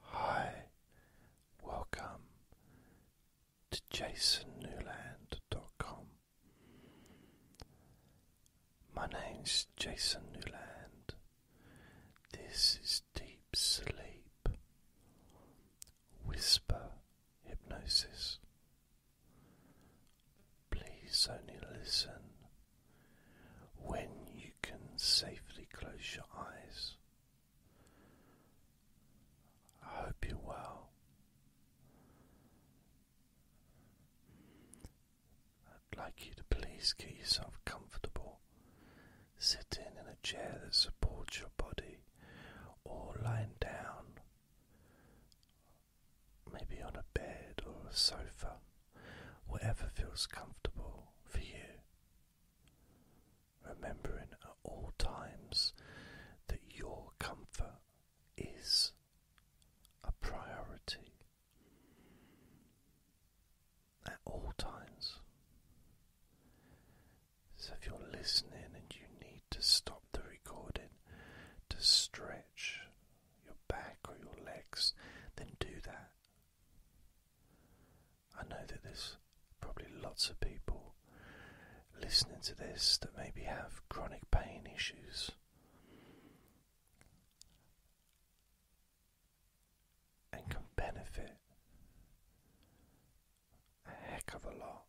Hi, welcome to jasonnewland.com. My name's Jason Newland. This is Deep Sleep Whisper Hypnosis. Please only listen when you can safely close your eyes. I hope you're well. I'd like you to please get yourself comfortable. Sitting in a chair that supports your body or lying down, maybe on a bed or a sofa, whatever feels comfortable for you remembering at all times that your comfort is a priority at all times. So if you're listening and you need to stop the recording to stretch your back or your legs, then do that. I know that there's probably lots of people listening to this that maybe have chronic pain issues. And can benefit a heck of a lot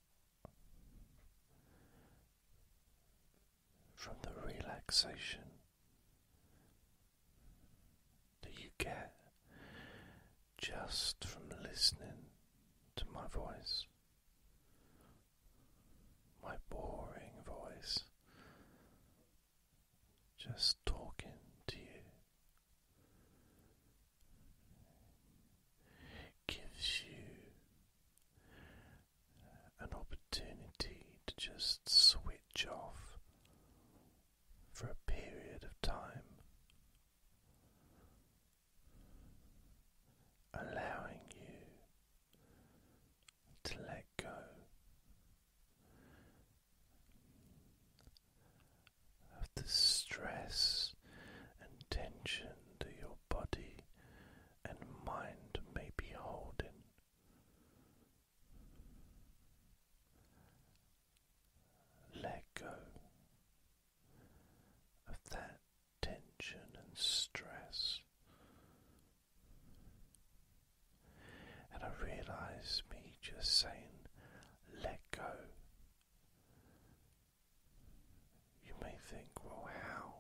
from the relaxation that you get just from listening to my voice, my boring voice, just talking to you. Gives you an opportunity to just switch off for a period of time, allowing you to let go. Of the stress and tension that your body and mind may be holding, let go of that tension and stress. And I realize me just saying, let go. You may think, well, how?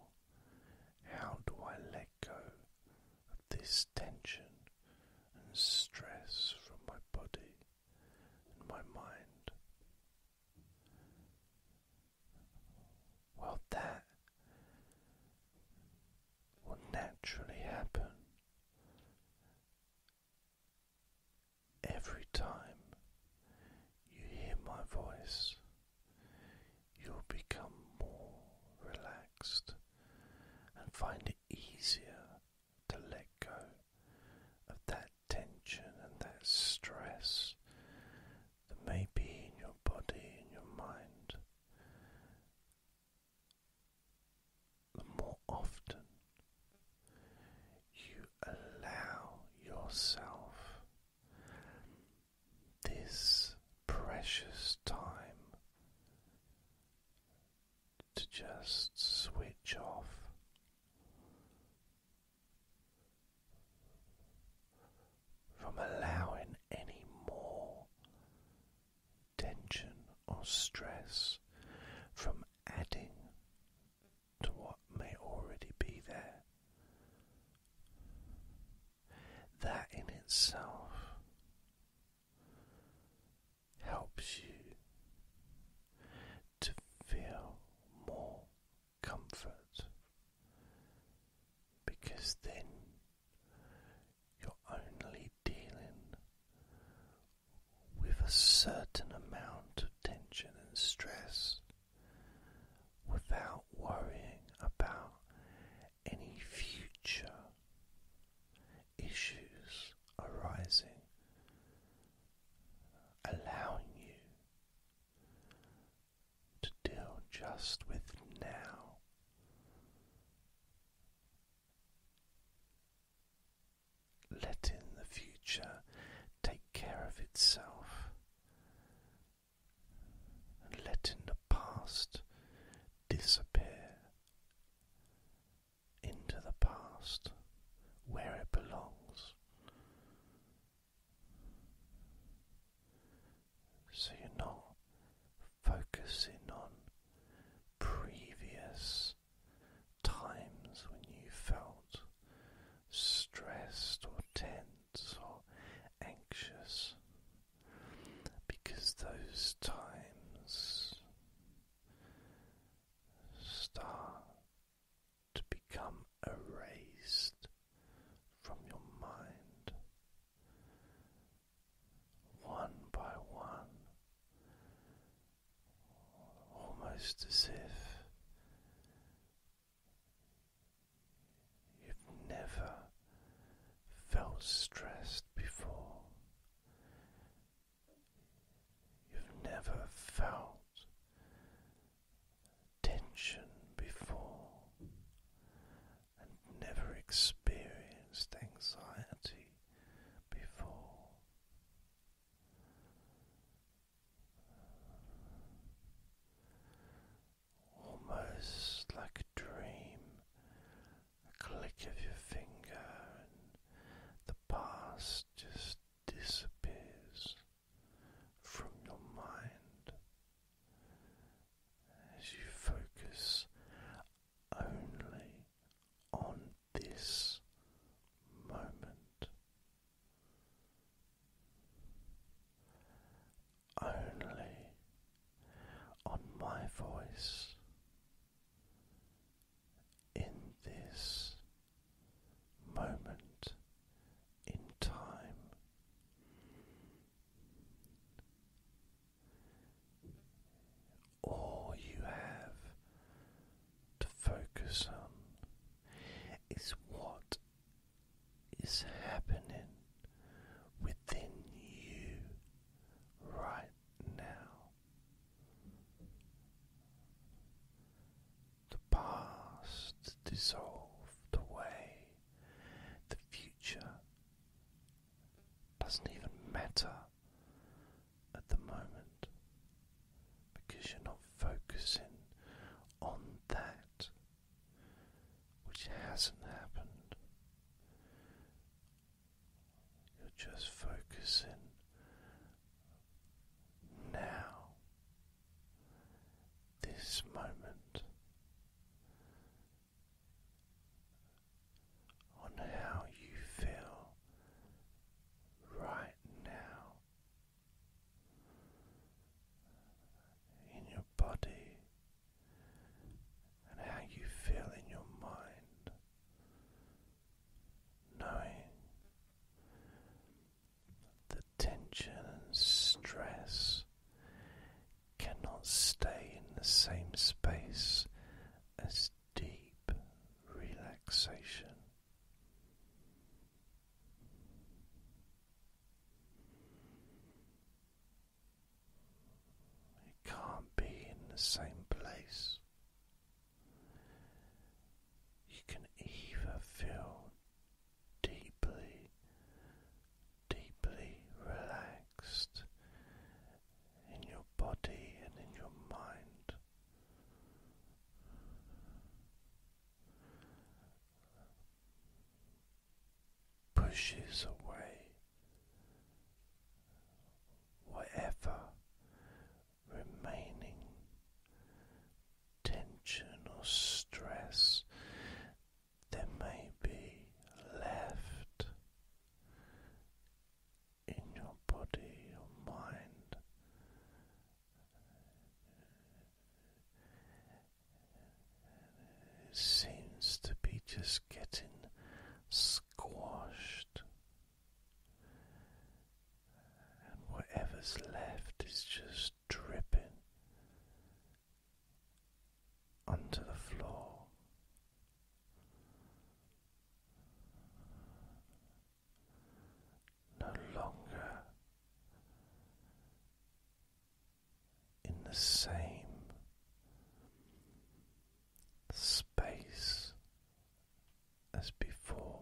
How do I let go of this tension and stress from my body and my mind. Well, that will naturally happen every time you hear my voice. You'll become more relaxed and find it easier to let go of that tension and that stress that may be in your body in your mind. The more often you allow yourself this precious time to just switch off. From allowing any more tension or stress from adding to what may already be there. That in itself helps you to feel more comfort because then you're only dealing with a certain amount of tension and stress without worrying about any future issues arising, allowing you to deal just with now. Letting the future take care of itself and letting the past disappear into the past where it belongs. So you're not focusing on previous times when you felt stressed or tense or anxious because those times start to become erased from your mind one by one, almost as if you've never felt stressed before. You've never felt tension before and never experienced anxiety before. Almost like a dream a click of your finger, and the past just disappears from your mind as you focus only on this moment. Only on my voice, in this moment in time. All you have to focus on is what is happening within you right now. The past dissolved away. The future doesn't even matter at the moment because you're not focusing on that which hasn't happened. You're just focusing now, this moment, on how you feel right now in your body. And how you feel in your mind knowing the tension and stress cannot stay in the same space as deep relaxation. It can't be in the same place. You can either feel deeply, deeply relaxed in your body and in your mind. Pushes away whatever remaining tension or stress there may be left in your body or mind. seems to be just getting squashed and whatever's left is just dripping onto the floor. No longer in the same space as before.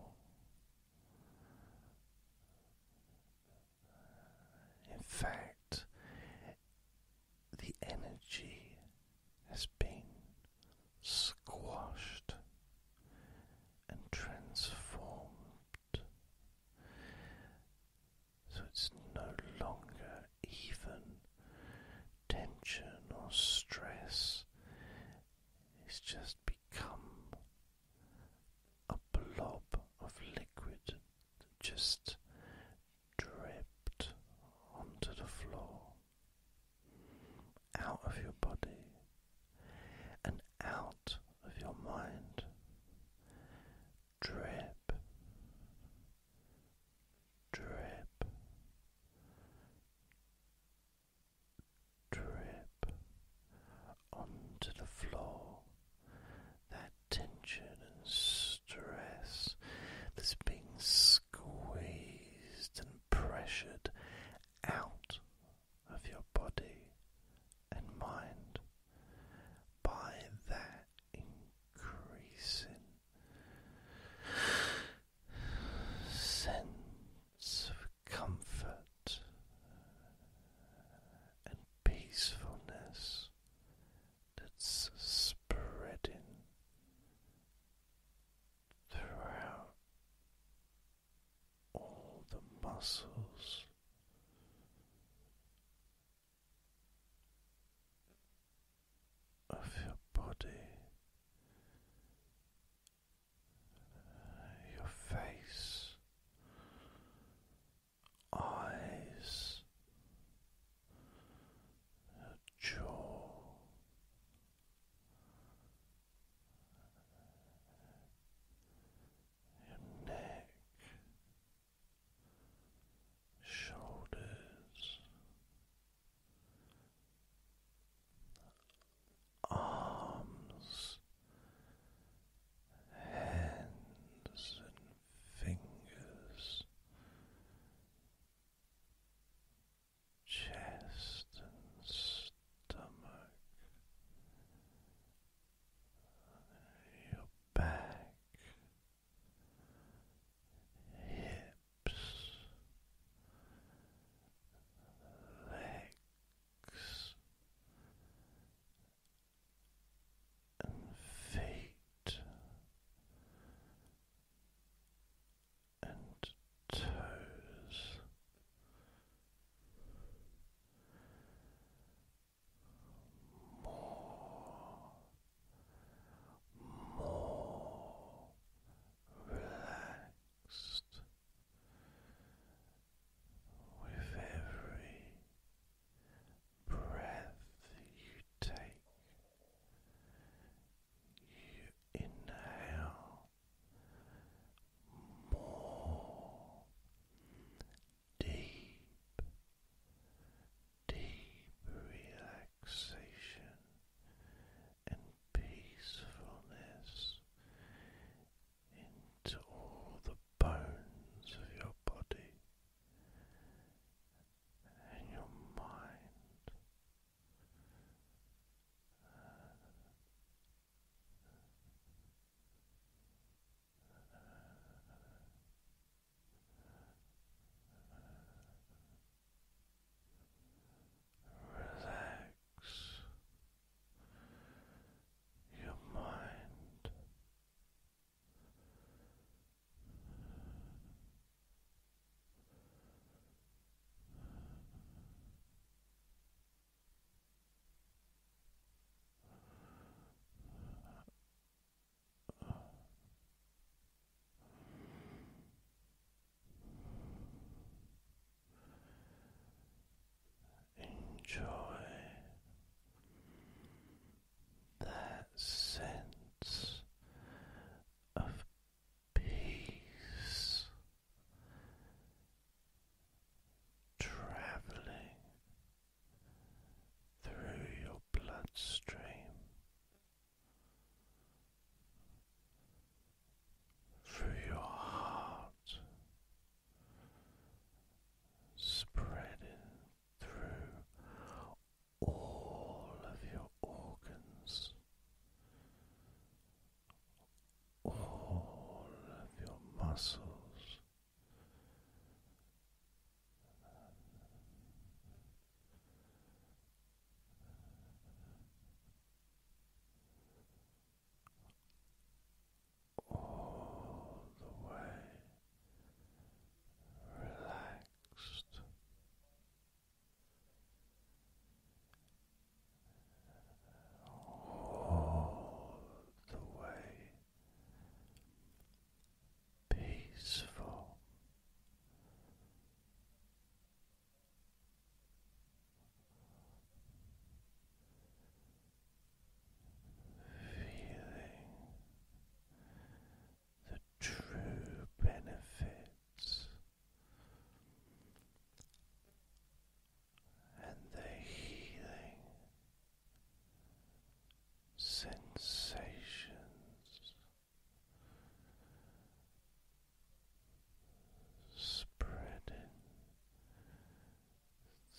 In fact, the energy has been squashed and transformed, so it's no longer even tension or stress. It's just become a blob of liquid that just dripped onto the floor, out of your body and out of your mind. Drip, drip, drip onto the floor. That tension and stress that's being squeezed and pressured out of your body and mind by that increasing sense of comfort and peacefulness that's spreading throughout all the muscles of your body, your face, eyes, your jaw. Your neck, shoulders, arms, hands, and fingers, chest and stomach, your back hips, legs, and feet, and toes. More more relaxed with every breath you take. You inhale more deep deep relaxation and peacefulness into all the bones of your body and your mind. Relax your mind. Enjoy that sense of peace traveling through your bloodstream through your heart, spreading through all of your organs, all of your muscles all the way relaxed. All the way peaceful, Feeling the true benefits and the healing sensations spreading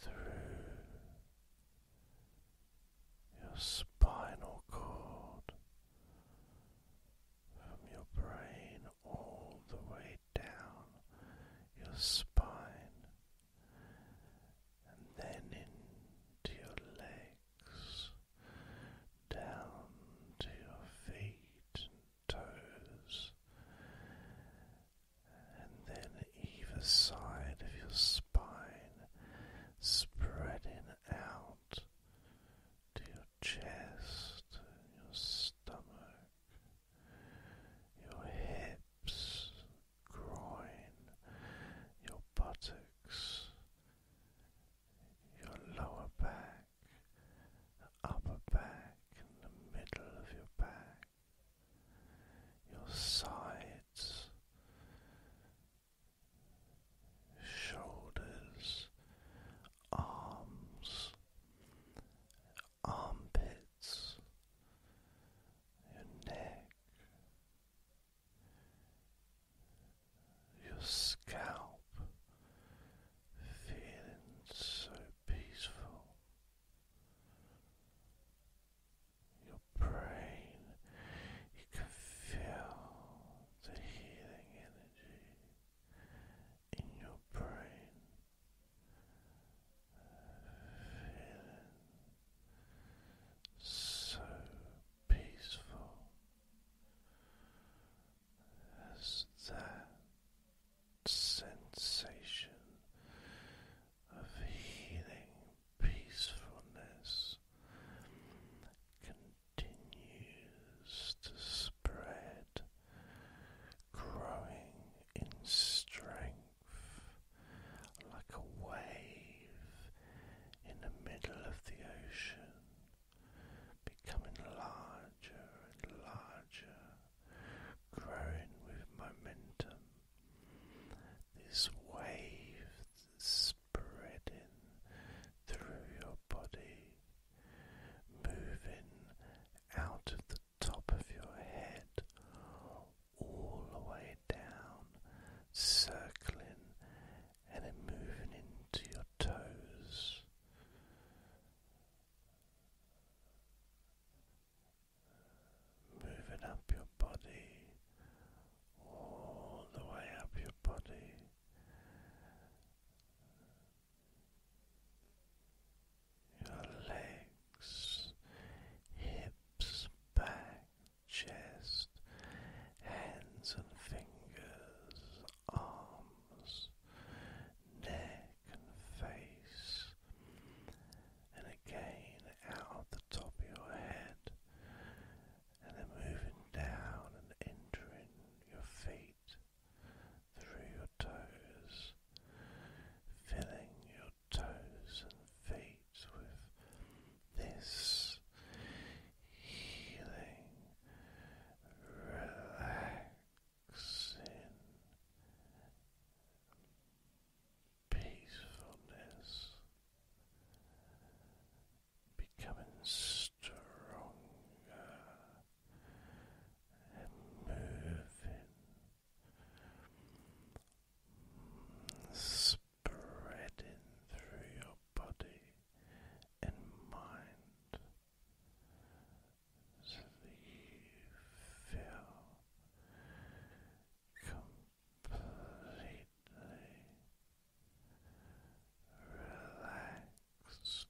through your spinal cord from your brain all the way down your spine and then into your legs down to your feet and toes, and then either side of your spine, spreading out to your chest, your stomach, your hips, groin, your buttocks your lower back, the upper back, in the middle of your back, your sides, shoulders, arms, armpits, your neck your scalp feeling so peaceful, your brain, you can feel the healing energy in your brain, feeling so peaceful as that sensation of healing peacefulness continues to spread, growing in strength like a wave in the middle of the ocean becoming larger and larger, growing with momentum. This wave spreading through your body, moving out of the top of your head, all the way down, circling and then moving into your toes. Moving up your body, all the way up your body. Your legs, hips, back, chest, hands and fingers, arms, neck, and face, and again out of the top of your head, and then moving down and entering your feet through your toes, filling your toes and feet with this healing, relaxing, peacefulness, becoming stronger and moving. Spreading through your body and mind so that you feel completely relaxed.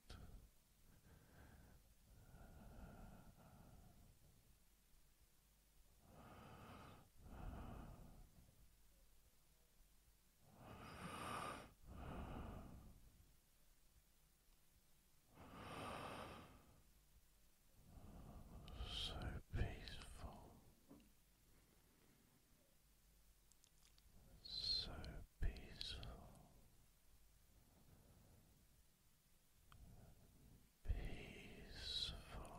So peaceful, so peaceful, peaceful.